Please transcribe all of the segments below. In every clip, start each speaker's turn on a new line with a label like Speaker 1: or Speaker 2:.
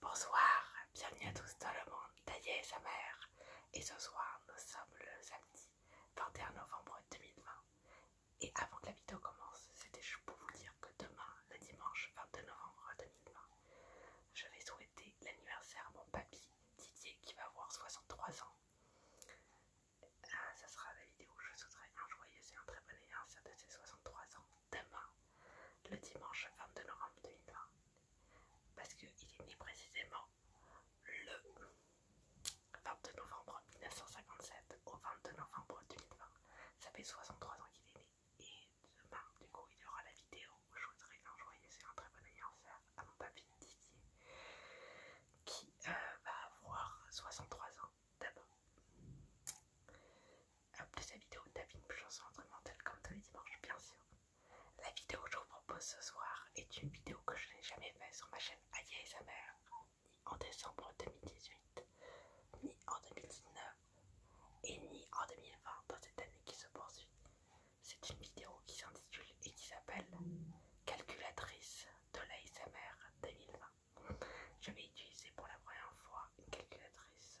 Speaker 1: Bonsoir, bienvenue à tous dans le monde d'Aïe et sa mère. Et ce soir, nous sommes le samedi 21 novembre 2020. Et avant que la vidéo commence, c'était juste pour vous dire que demain, le dimanche 22 novembre 2020, je vais souhaiter l'anniversaire à mon papy Didier qui va avoir 63 ans. Ah, ça sera la vidéo où je souhaiterai un joyeux et un très bon anniversaire de ses 63 ans demain, le dimanche 22 novembre 2020, parce qu'il est né précisément le 22 novembre 1957 au 22 novembre 2020. Ça fait 63 ans qu'il est né. Et demain, du coup, il y aura la vidéo où je voudrais un joyeux et un très bon anniversaire à mon papy Didier, qui euh, va avoir 63 ans d'abord. Plus sa vidéo Tapine chanson instrumentale comme tous les dimanches bien sûr. La vidéo que je vous propose ce soir est une vidéo que je n'ai jamais faite sur ma chaîne Aya et sa mère, ni en décembre 2018, ni en 2019, et ni en 2020 dans cette année qui se poursuit. C'est une vidéo qui s'intitule et qui s'appelle Calculatrice de l'ASMR 2020. Je vais utiliser pour la première fois une calculatrice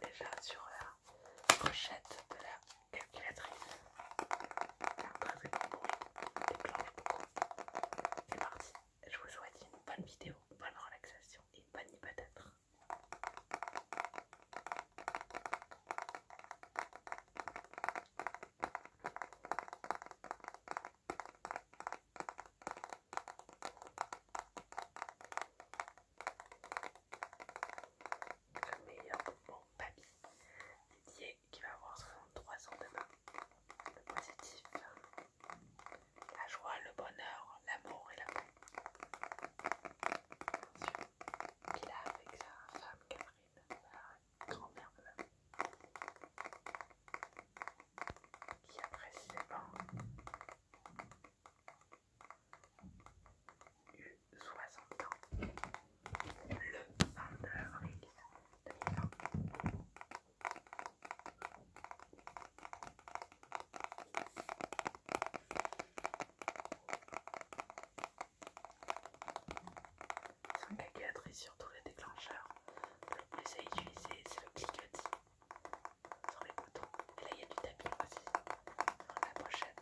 Speaker 1: déjà sur la brochette de la calculatrice. Un très très bon déclenche beaucoup. C'est parti, je vous souhaite une bonne vidéo, une bonne relaxation et une bonne Peut-être. Le meilleur bon papy dédié qui va avoir 63 ans demain. Le positif, la joie, le bonheur, l'amour et la paix. Attention. sûr. Il a avec sa femme Catherine, grand-mère de qui a précisément hein, eu 60 ans le 22 avril 2020. Son cacatrice sur tous les déclencheurs le plus à utiliser, c'est le cliquetis sur les boutons. Et là, il y a du tapis aussi dans la pochette.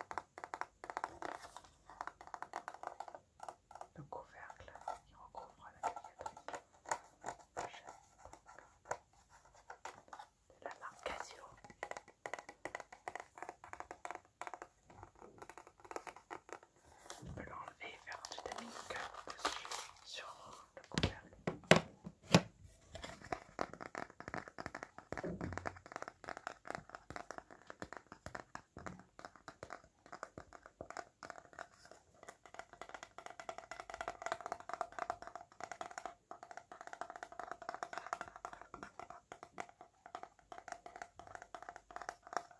Speaker 1: Le couvercle qui recouvre la la De la marque Casio. Je peut l'enlever et faire du tapis de cœur dessus sur le couvercle.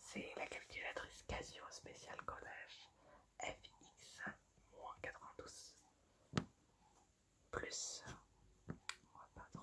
Speaker 1: C'est la calculatrice Casio spéciale collage FX-92. Plus, on va pas trop,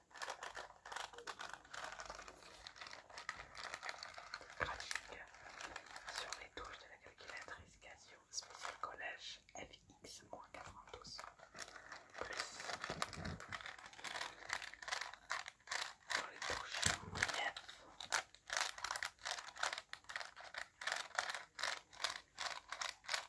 Speaker 1: sur les touches de la calculatrice Casio spécial collège FX-92 plus sur les touches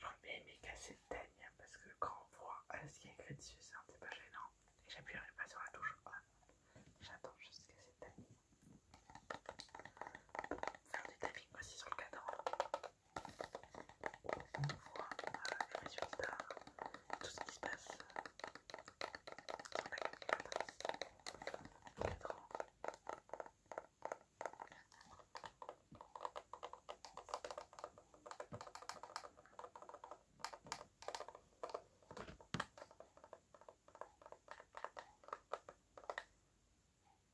Speaker 1: J'aurais bien aimé casser le hein, parce que quand on voit euh, ce qui est écrit dessus, c'est un petit peu gênant. Et j'appuierai pas sur la touche on. J'attends juste qu'elle s'éteigne faire du tapping aussi sur le cadran. On voit euh, les tout ce qui se passe le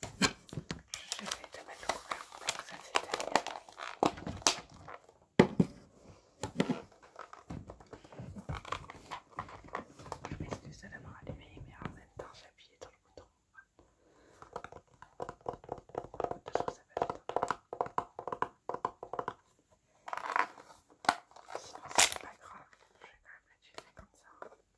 Speaker 1: Je vais te mettre le couvert pour que ça s'éteigne. Je m'excuse de la main allumée, mais en même temps j'ai appuyé dans le bouton. Sinon toute façon, ça va vite. Hein. Hein. Sinon, c'est pas grave, je vais quand même la tuer comme ça.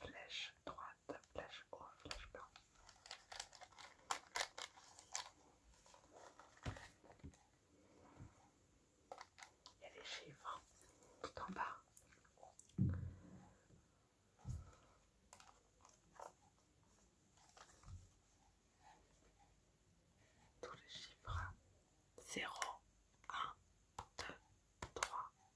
Speaker 1: flèche droite, flèche haut flèche blanche. Il y a les chiffres tout en bas. Tous les chiffres 0, 1, 2, 3,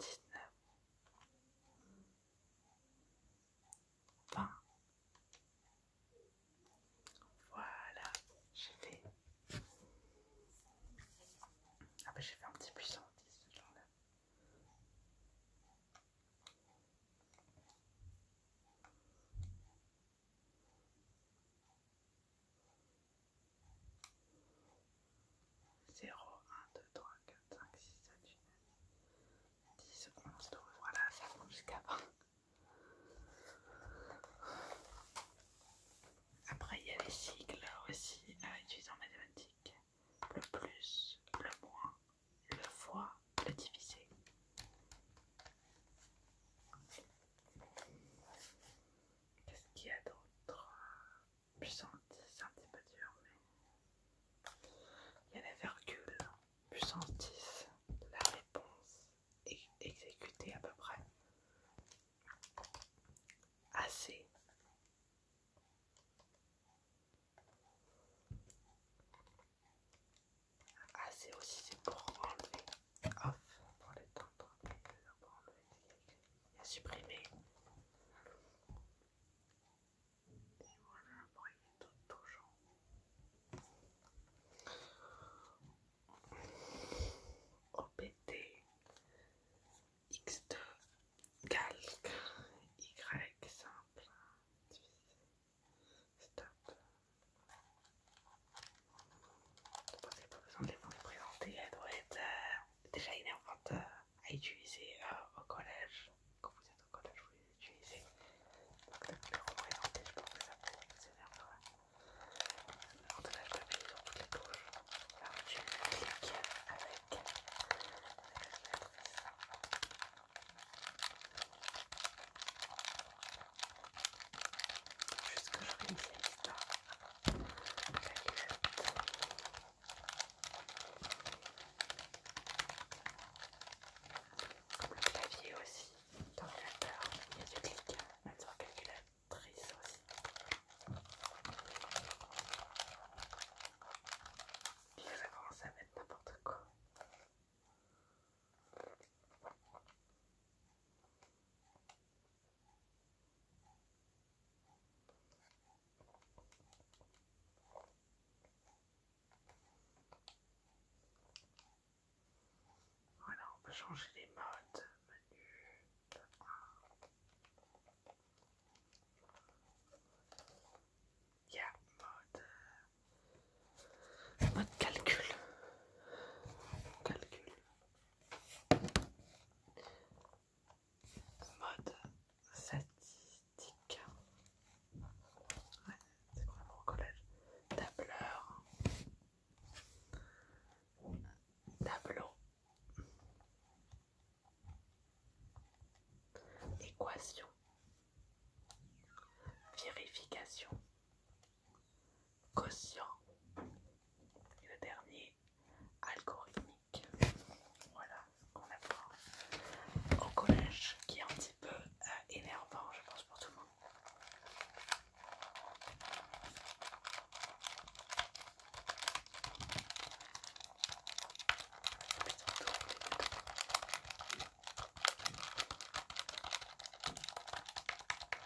Speaker 1: dix-neuf, Voilà, j'ai fait. Ah ben, j'ai fait un petit puissant ce là 0, 1, 2, 3, 4, 5, 6, 7, 8, 9, 10, 11, 12, voilà, ça va jusqu'à 20. Après, il y a les cycles aussi à euh, utiliser en mathématiques. Le plus, le moins, le fois, le divisé. Qu'est-ce qu'il y a d'autre Puissance 10, c'est un petit peu dur, mais. Il y a la virgule. Puissance 10, la réponse est exécutée à peu près. Assez. Assez aussi, c'est pour enlever. Off pour l'étendre. Pour enlever et à supprimer. Et voilà, bon, il est tout touchant. OBT X2 calque Y simple divisé stop je pense qu'il n'y a pas besoin de les vous présenter. elles doivent être euh, déjà énervantes euh, à utiliser euh, au collège. Quand vous êtes au collège, vous les utilisez. Donc le, les représenter, je pense que ça peut être énervant. En tout cas, je l'appuie sur toutes les touches. Alors tu cliques avec, avec la Juste que j'organise la Comme le clavier aussi, il y a du clic, calculatrice aussi. Puis commence à mettre n'importe quoi. Voilà, on peut changer les modes, menu de 1. Il mode, euh, mode calcul. Calcul. Mode statistique. au collège. Tableur. Tableau. Équation. Vérification quotient et le dernier algorithmique. Voilà ce qu'on apprend au collège qui est un petit peu euh, énervant je pense pour tout le monde.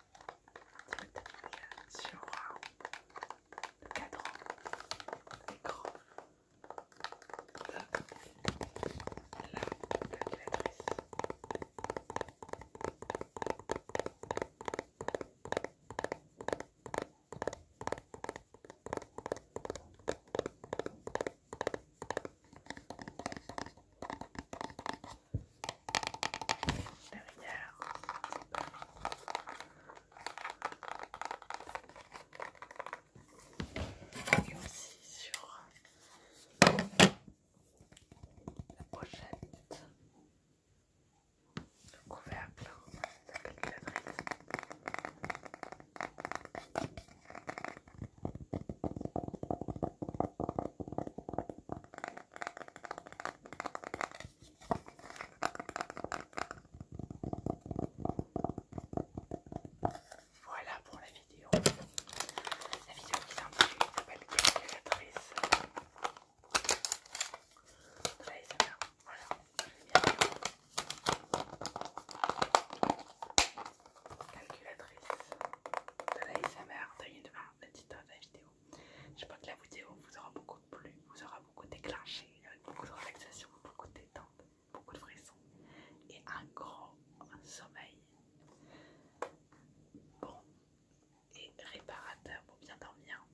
Speaker 1: Il y a sur le cadran, l'écran de la calculatrice derrière. Et aussi sur la pochette, le couvercle, la calculatrice. Voilà pour la vidéo. La vidéo qui s'intitule s'appelle Calculatrice. de Là, voilà, Calculatrice de la SMR, taille de la petite vidéo. Je J'espère que la vidéo vous aura beaucoup plu, vous aura beaucoup déclenché, beaucoup de relaxation, beaucoup de détente, beaucoup de frissons et un grand sommeil bon et réparateur pour bien dormir.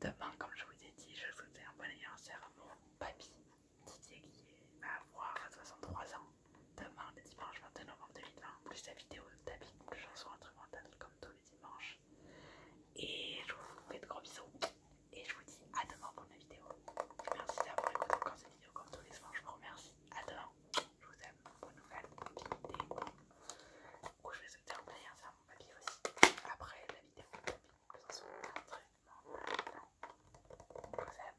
Speaker 1: Demain, comme je vous ai dit, je souhaitais un bon anniversaire à mon papy Didier qui va avoir 63 ans. Demain, le dimanche 22 novembre 2020, plus la vidéo d'habitude plus chansons instrumentale comme tous les dimanches. Et je vous fais de gros bisous. Et je vous dis à demain pour ma vidéo. Merci d'avoir écouté encore cette vidéo comme tous les dimanches. Je vous remercie. À demain. Je vous aime. Bonne nouvelle. Bonne Du coup, je vais se un player, sur mon papier aussi. Après la vidéo tapping, plus chanson instrumentale. Je vous aime.